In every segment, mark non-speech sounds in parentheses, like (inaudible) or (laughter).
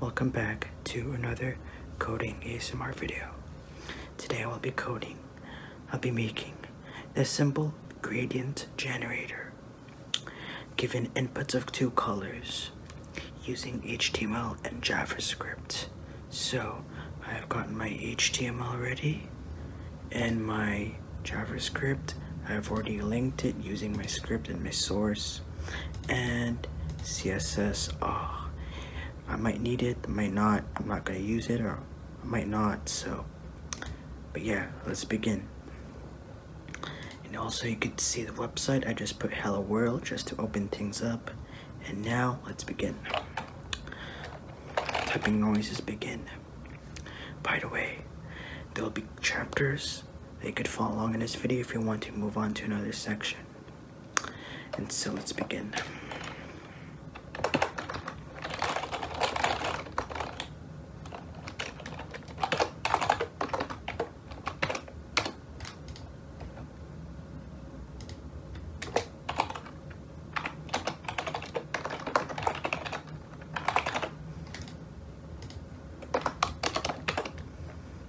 Welcome back to another coding ASMR video. Today I'll be coding. I'll be making a simple gradient generator given inputs of two colors using HTML and JavaScript. So I've gotten my HTML ready and my JavaScript. I've already linked it using my script and my source and css oh i might need it might not i'm not gonna use it or i might not so but yeah let's begin and also you can see the website i just put hello world just to open things up and now let's begin typing noises begin by the way there will be chapters they could follow along in this video if you want to move on to another section. And so let's begin.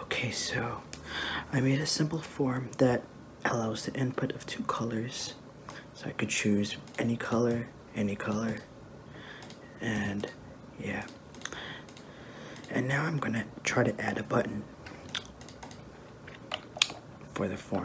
Okay, so I made a simple form that allows the input of two colors. So I could choose any color, any color, and yeah. And now I'm gonna try to add a button for the form.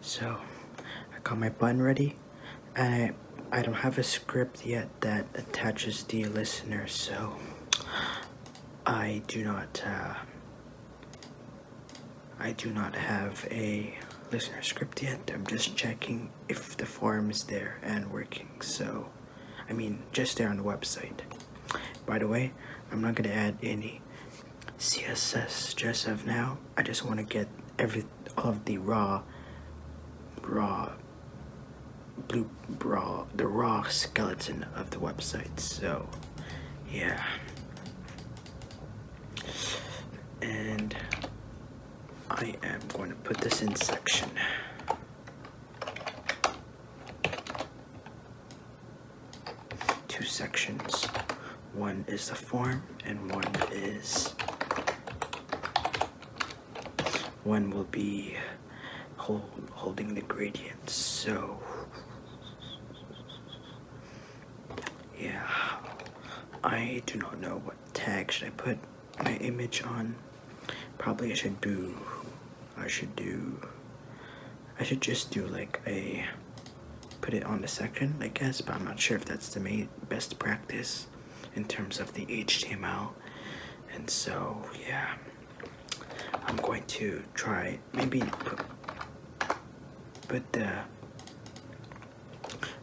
So I got my button ready and I, I don't have a script yet that attaches the listener so I do not uh, I do not have a listener script yet. I'm just checking if the form is there and working. So, I mean, just there on the website. By the way, I'm not gonna add any CSS just now. I just want to get every of the raw raw blue raw the raw skeleton of the website so yeah and I am going to put this in section two sections one is the form and one is one will be holding the gradient. So yeah, I do not know what tag should I put my image on. Probably I should do, I should do, I should just do like a, put it on the section I guess, but I'm not sure if that's the main, best practice in terms of the HTML. And so, yeah. I'm going to try maybe put the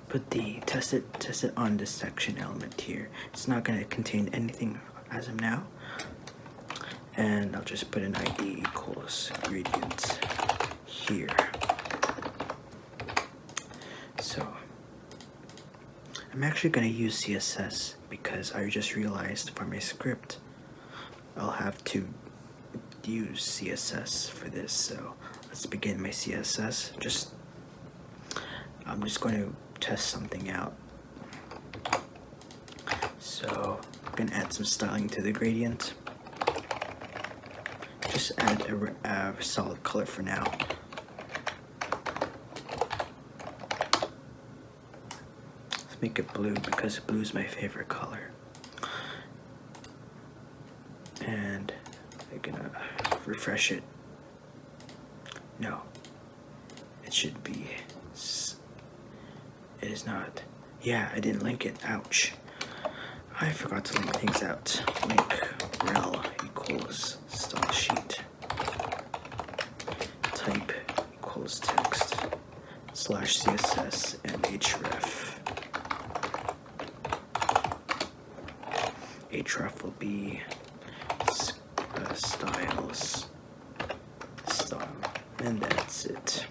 put the test it test it on this section element here. It's not gonna contain anything as of now. And I'll just put an ID equals ingredients here. So I'm actually going to use CSS because I just realized for my script I'll have to use CSS for this. So let's begin my CSS. Just I'm just going to test something out. So I'm going to add some styling to the gradient. Just add a, solid color for now. Let's make it blue because blue is my favorite color. And I'm gonna refresh it. No, it should be. It is not. Yeah, I didn't link it. Ouch. I forgot to link things out. Link rel equals style type equals text slash css and href. href will be uh, styles style and that's it.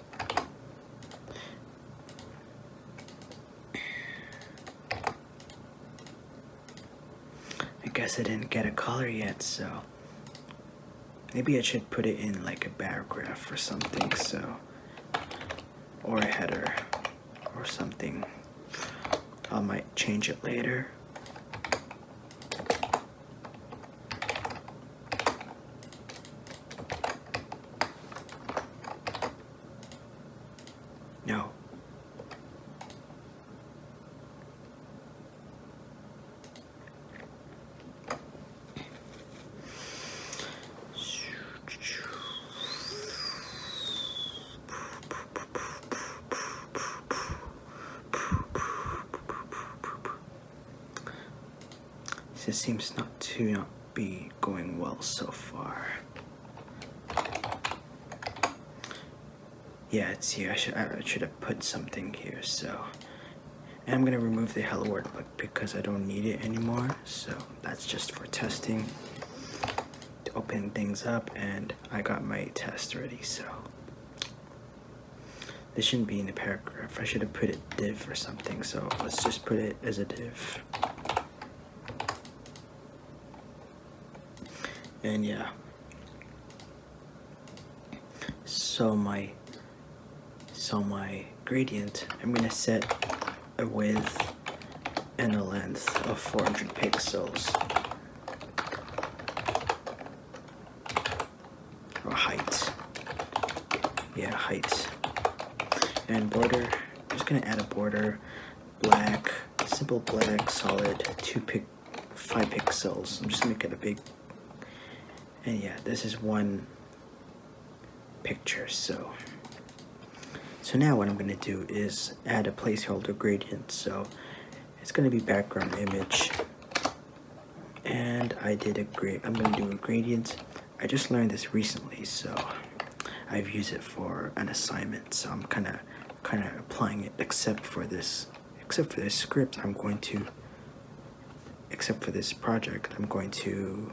I guess I didn't get a color yet, so Maybe I should put it in like a paragraph or something, so. Or a header or something. I might change it later. No. This seems not to be going well so far. Yeah, it's here. I should, I should have put something here, so. I'm gonna remove the hello world book because I don't need it anymore. So that's just for testing to open things up and I got my test ready, so. This shouldn't be in a paragraph. I should have put it div or something, so let's just put it as a div. And yeah, so my so my gradient I'm gonna set a width and a length of 400 pixels or height yeah height and border just gonna add a border black simple black solid two pic five pixels. I'm just making a big, and yeah, this is one picture, so. So now what I'm gonna do is add a placeholder gradient. So it's gonna be background image. And I did a great. I'm gonna do a gradient. I just learned this recently, so I've used it for an assignment. So I'm kinda, kinda applying it except for this except for this script, I'm going to, except for this project, I'm going to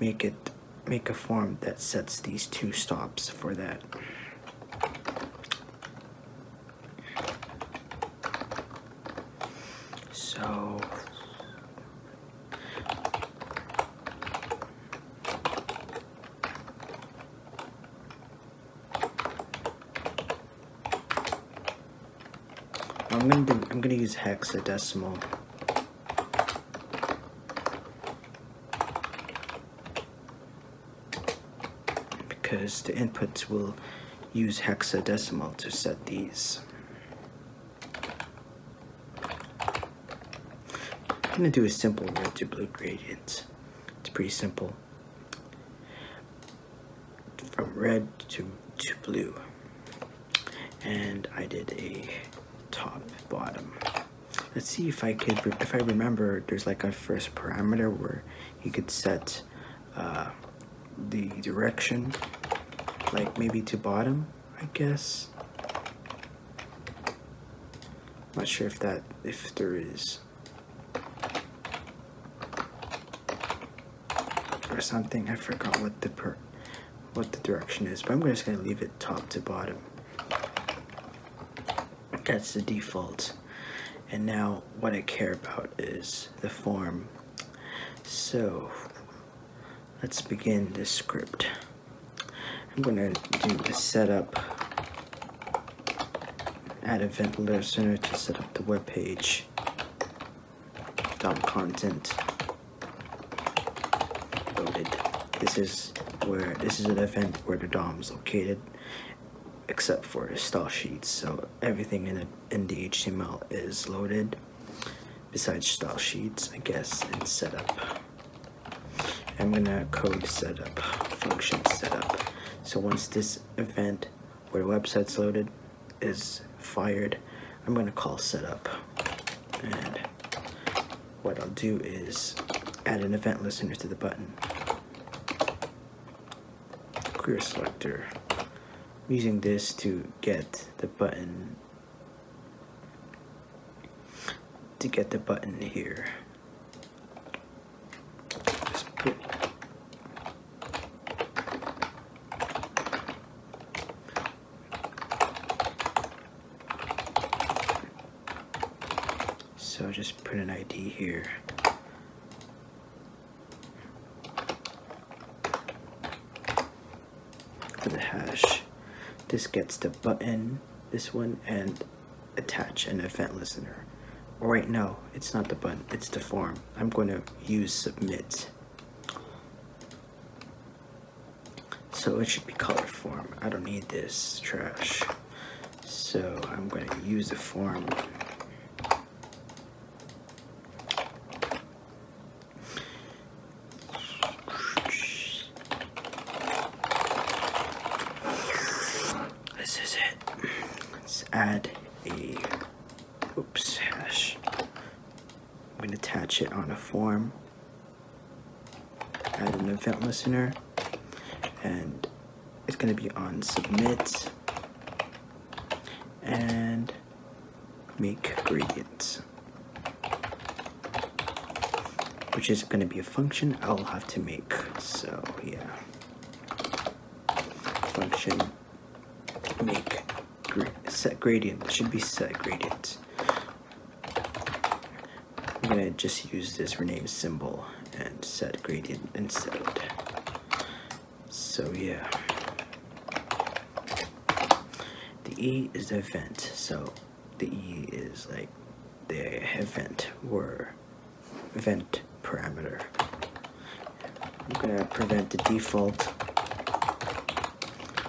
make it, make a form that sets these two stops for that. So, I'm gonna do, I'm gonna use hexadecimal. Because the inputs will use hexadecimal to set these. I'm gonna do a simple red to blue gradient. It's pretty simple from red to, to blue. And I did a top bottom. Let's see if I could, if I remember, there's like a first parameter where you could set uh, the direction, like maybe to bottom, I guess. Not sure if that, if there is or something. I forgot what the per what the direction is, but I'm just gonna leave it top to bottom. That's the default. And now what I care about is the form. So let's begin the script. I'm gonna do the setup add event listener to set up the web page. Dom content loaded. This is where this is an event where the DOM is located, except for style sheets. So everything in the, in the HTML is loaded, besides style sheets, I guess, and setup. I'm gonna code setup, function setup. So once this event where the website's loaded is fired. I'm gonna call setup. And what I'll do is add an event listener to the button. Queer selector. I'm using this to get the button to get the button here just put so just put an ID here. For the hash. This gets the button, this one, and attach an event listener. Or wait, no, it's not the button, it's the form. I'm going to use submit. So it should be color form. I don't need this trash. So I'm going to use the form. This is it. Let's add a oops, hash. I'm going to attach it on a form, add an event listener, and it's going to be on submit and make gradients, which is going to be a function I'll have to make. So, yeah, function make set gradient. should be set gradient. I'm gonna just use this rename symbol and set gradient instead. So yeah. The E is the event, so the E is like the event where vent parameter. I'm gonna prevent the default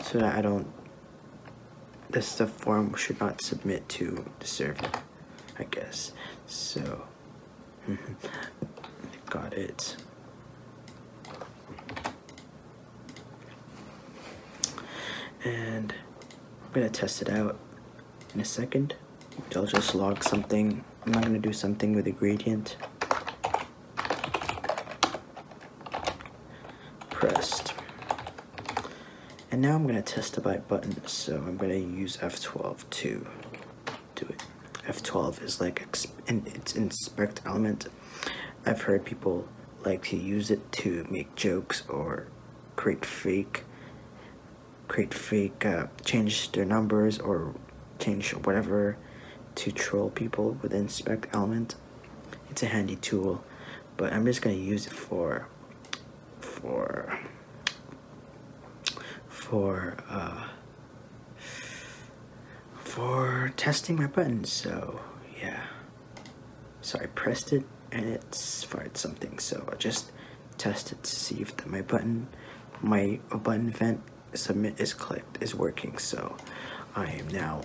so that I don't this the form should not submit to the server, I guess. So (laughs) got it. And I'm gonna test it out in a second. I'll just log something I'm not going to do something with a gradient. Pressed. And now I'm going to test the bite button, so I'm going to use F12 to do it. F12 is like, and it's inspect element. I've heard people like to use it to make jokes or create fake, create fake, uh, change their numbers or change whatever to troll people within spec element it's a handy tool but I'm just gonna use it for for for uh, for testing my button. so yeah so I pressed it and it's fired something so I just tested to see if my button my button vent submit is clicked, is working. So I am now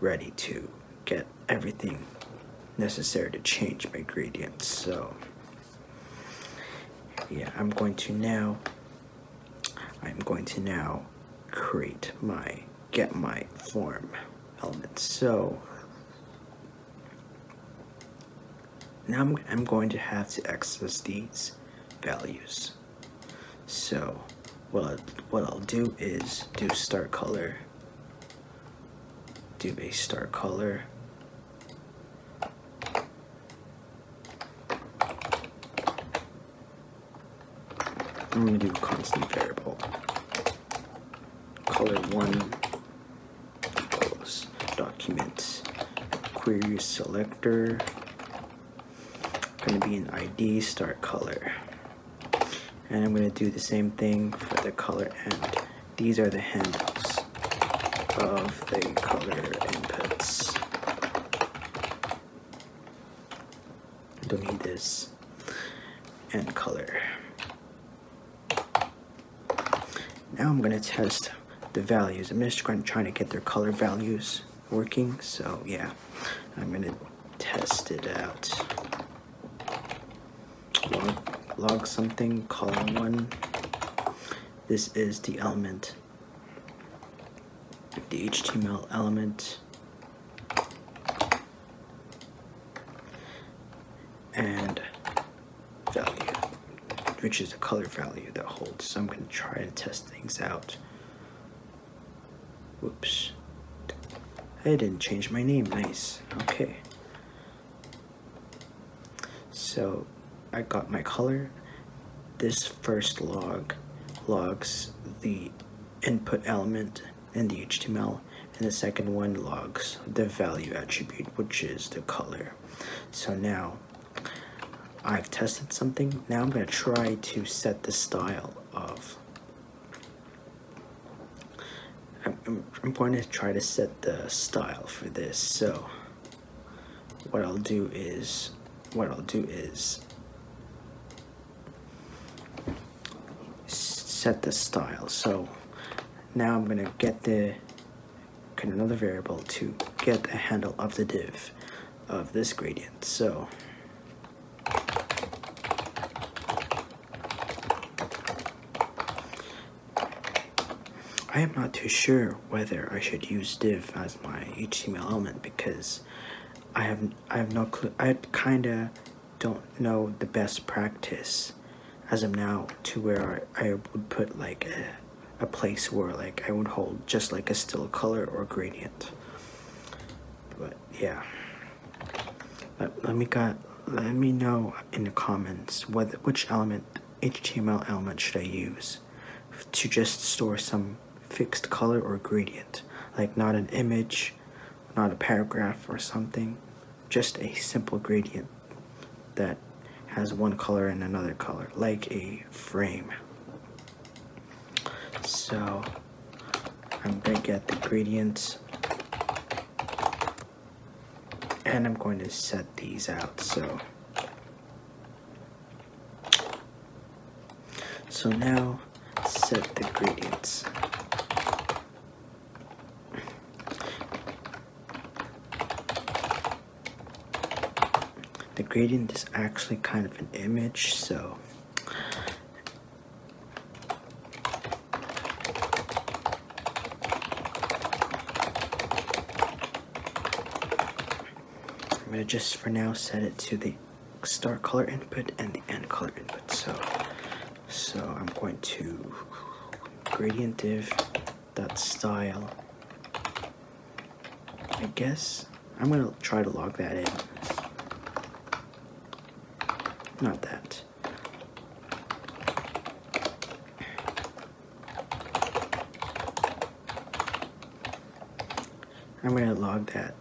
ready to get everything necessary to change my gradient So yeah, I'm going to now, I'm going to now create my, get my form element. So now I'm, I'm going to have to access these values so what, what I'll do is do start color do a start color I'm going to do a constant variable color 1 equals document query selector going to be an ID start color and I'm going to do the same thing for the color end these are the handles of the color inputs don't need this and color now I'm going to test the values. I'm just trying, trying to get their color values working. So yeah, I'm gonna test it out. log something, column one. This is the element, the HTML element. And value which is the color value that holds. So I'm going to try and test things out. Whoops. I didn't change my name. Nice. Okay. So I got my color. This first log logs the input element in the HTML and the second one logs the value attribute which is the color. So now I've tested something. Now I'm going to try to set the style of. I'm, I'm going to try to set the style for this. So what I'll do is, what I'll do is set the style. So now I'm going to get the create another variable to get the handle of the div of this gradient. So I am not too sure whether I should use div as my HTML element because I have I have no clue. I kinda don't know the best practice as of now to where I, I would put like a place where like I would hold just like a still color or gradient. But yeah. Let, let me let me know in the comments whether which element HTML element should I use to just store some fixed color or gradient like not an image not a paragraph or something just a simple gradient that has one color and another color like a frame so I'm going to get the gradients, and I'm going to set these out. So, so now set the gradients. The gradient is actually kind of an image, so I'm gonna just for now set it to the start color input and the end color input. So, so I'm going to gradient div dot style I guess I'm gonna try to log that in. Not that. I'm gonna log that.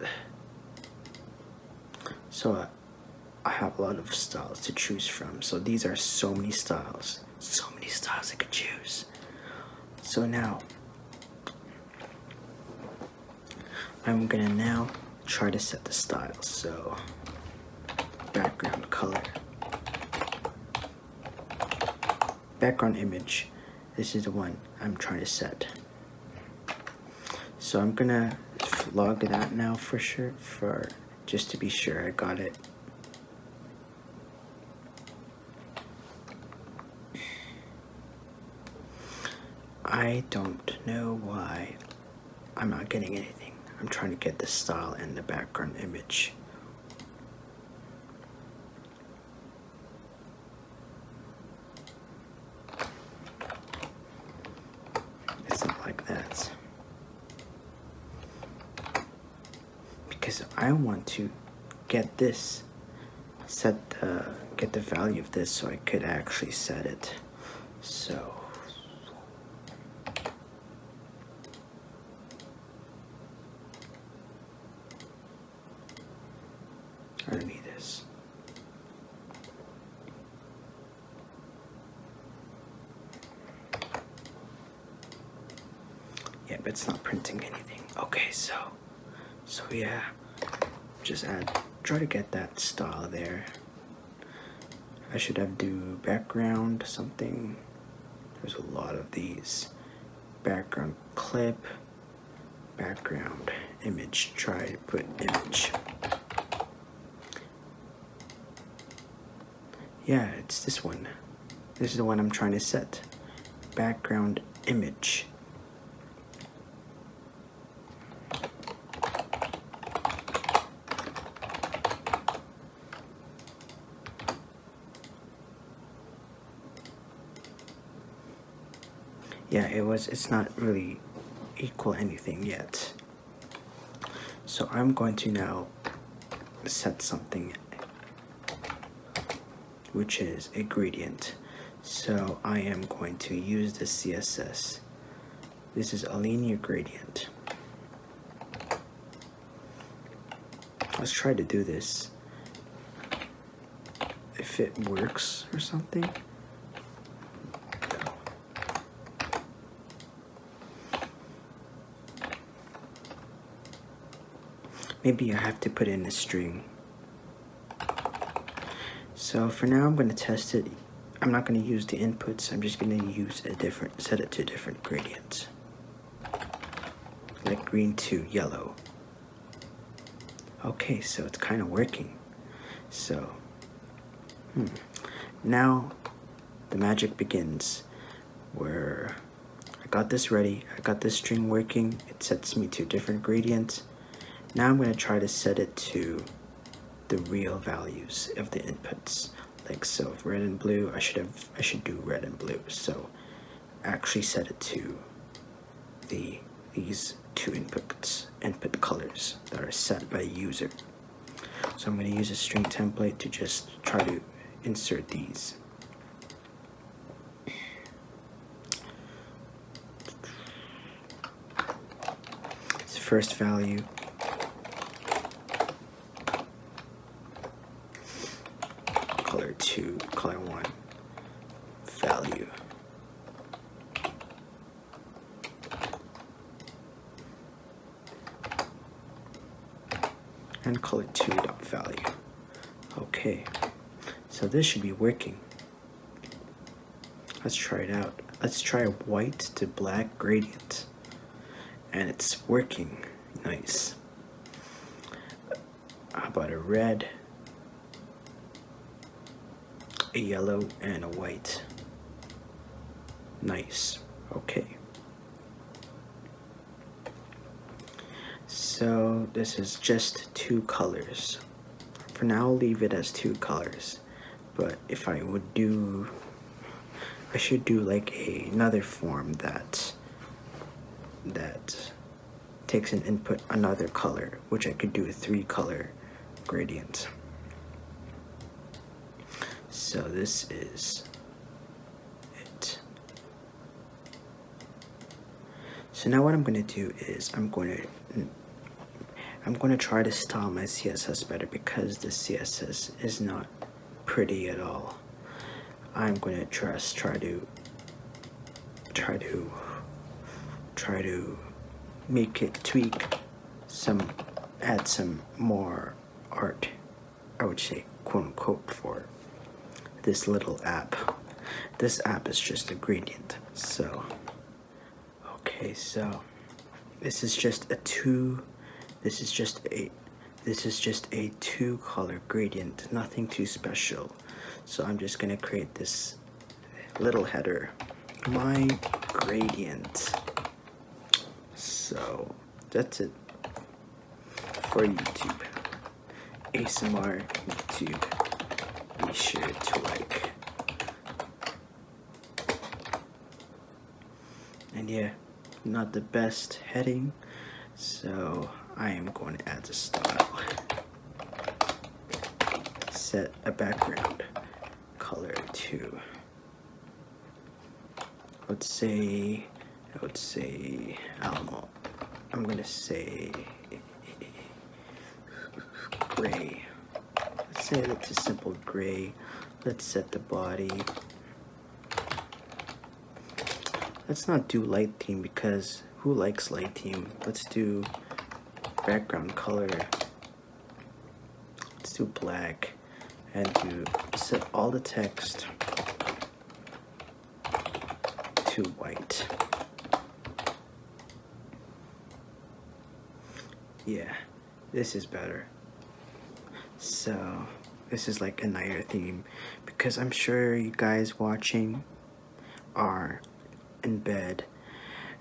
So uh, I have a lot of styles to choose from. So these are so many styles. So many styles I could choose. So now, I'm gonna now try to set the styles. So, background color, background image. This is the one I'm trying to set. So I'm gonna log that now for sure, for just to be sure I got it I don't know why I'm not getting anything. I'm trying to get the style and the background image. It's not like that because I want to get this set the get the value of this so I could actually set it so I don't need this yeah but it's not printing anything okay so so yeah, just add, try to get that style there. I should have do background something. There's a lot of these. Background clip, background image. Try to put image. Yeah, it's this one. This is the one I'm trying to set. Background image. yeah it was it's not really equal anything yet so I'm going to now set something which is a gradient. So I am going to use the CSS. This is a linear gradient. Let's try to do this. If it works or something. Maybe I have to put in a string. So for now, I'm going to test it. I'm not going to use the inputs. I'm just going to use a different, set it to different gradients. Like green to yellow. Okay, so it's kind of working. So, hmm. Now, the magic begins. Where I got this ready, I got this string working, it sets me to different gradients. Now I'm going to try to set it to the real values of the inputs. Like so, red and blue, I should have I should do red and blue. So actually set it to the these two inputs input colors that are set by user. So I'm going to use a string template to just try to insert these. It's first value. Color 2, color 1, value. And color 2 dot value. Okay, so this should be working. Let's try it out. Let's try a white to black gradient. And it's working nice. I bought a red, a yellow, and a white? Nice. Okay. So this is just two colors. For now, I'll leave it as two colors. But if I would do, I should do like another form that, that takes an input another color, which I could do a three color gradient. So this is it. So now what I'm going to do is I'm going to I'm going to try to style my CSS better because the CSS is not pretty at all. I'm going to just try to try to try to make it tweak some add some more art I would say quote unquote for this little app. This app is just a gradient. So, okay, so this is just a two, this is just a, this is just a two color gradient, nothing too special. So I'm just gonna create this little header, my gradient. So that's it for YouTube. ASMR YouTube. Be sure to like. And yeah, not the best heading, so I am going to add the style. Set a background color to, let's say, I would say, I don't know, I'm gonna say gray. Let's say it's a simple gray. Let's set the body. Let's not do light theme because who likes light theme? Let's do background color. Let's do black and to set all the text to white. Yeah, this is better. So, this is like a night theme because I'm sure you guys watching are in bed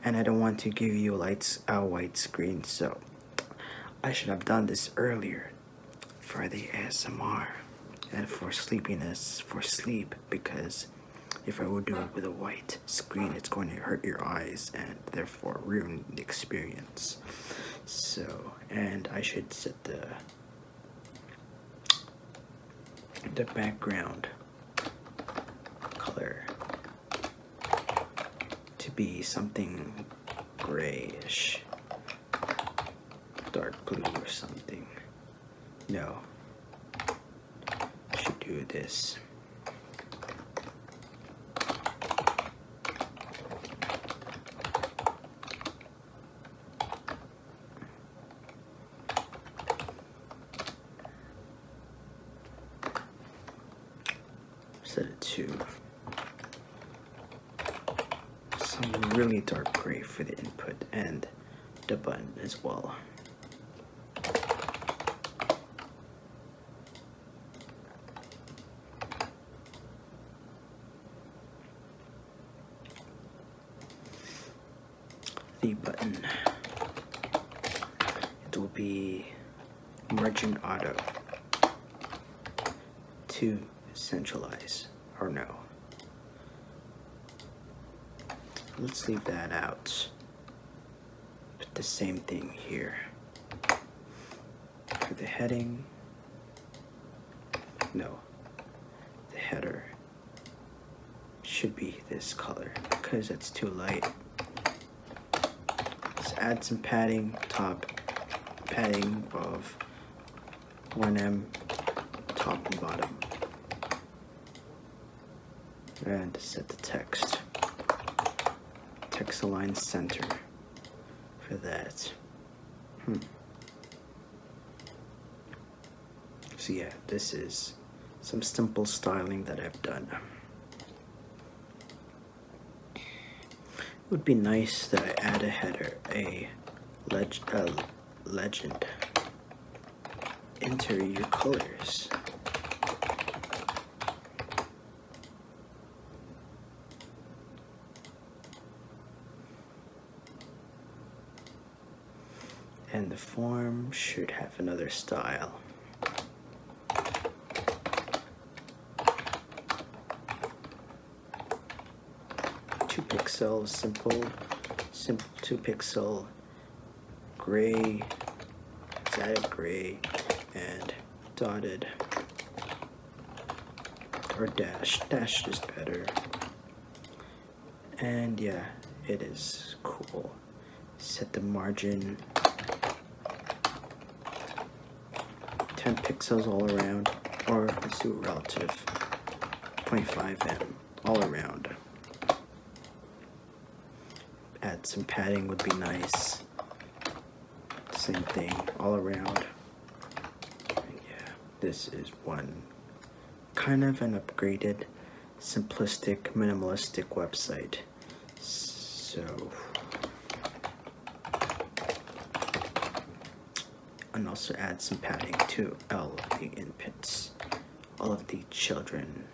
and I don't want to give you lights a white screen so I should have done this earlier for the ASMR and for sleepiness for sleep because if I would do it with a white screen, it's going to hurt your eyes and therefore ruin the experience. So, and I should set the the background color to be something grayish, dark blue or something. No. I should do this. Set it to some really dark gray for the input end the button as well. The button. It will be merchant auto to centralize or no? Let's leave that out. Put the same thing here. For the heading, no, the header should be this color because it's too light. Let's add some padding, top padding of 1M top and bottom and set the text text align center for that hmm. so yeah this is some simple styling that I've done it would be nice that I add a header a legend enter your colors. And the form should have another style. Two pixels, simple, simple two pixel gray, static gray, and dotted, or dash, dash is better. And yeah, it is cool. Set the margin 10 pixels all around, or let's do relative 0.5 m all around. Add some padding would be nice. Same thing all around. yeah, this is one kind of an upgraded, simplistic, minimalistic website. So, and also add some padding to L the inputs all of the children,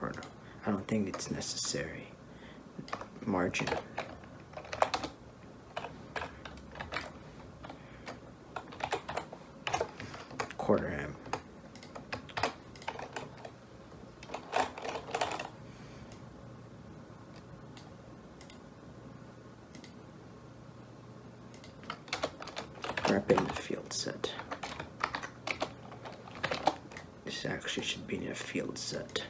or no, I don't think it's necessary, margin. Quarter M wrapping the field set. This actually should be in a field set.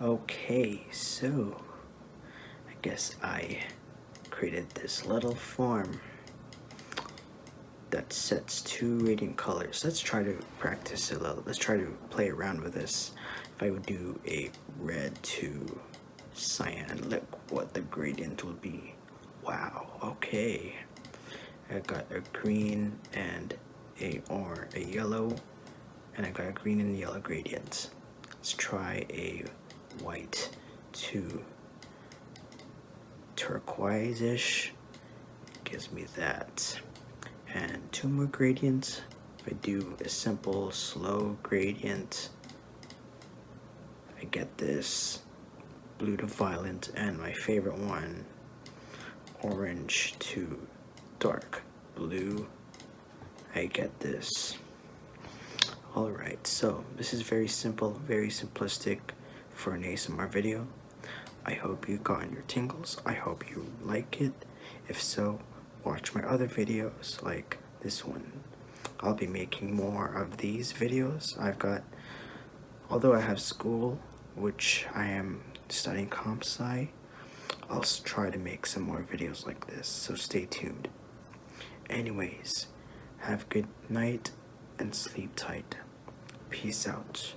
Okay, so I guess I created this little form that sets two radiant colors. Let's try to Practice a little. Let's try to play around with this. If I would do a red to cyan, look what the gradient will be. Wow, okay. I got a green and a or a yellow, and I got a green and yellow gradients. Let's try a white to turquoise-ish gives me that. And two more gradients. If I do a simple slow gradient, I get this blue to violet and my favorite one, orange to dark blue. I get this. Alright, so this is very simple, very simplistic for an ASMR video. I hope you got your tingles. I hope you like it. If so, watch my other videos like this one. I'll be making more of these videos. I've got, although I have school, which I am studying comp sci, I'll try to make some more videos like this, so stay tuned. Anyways, have good night and sleep tight. Peace out.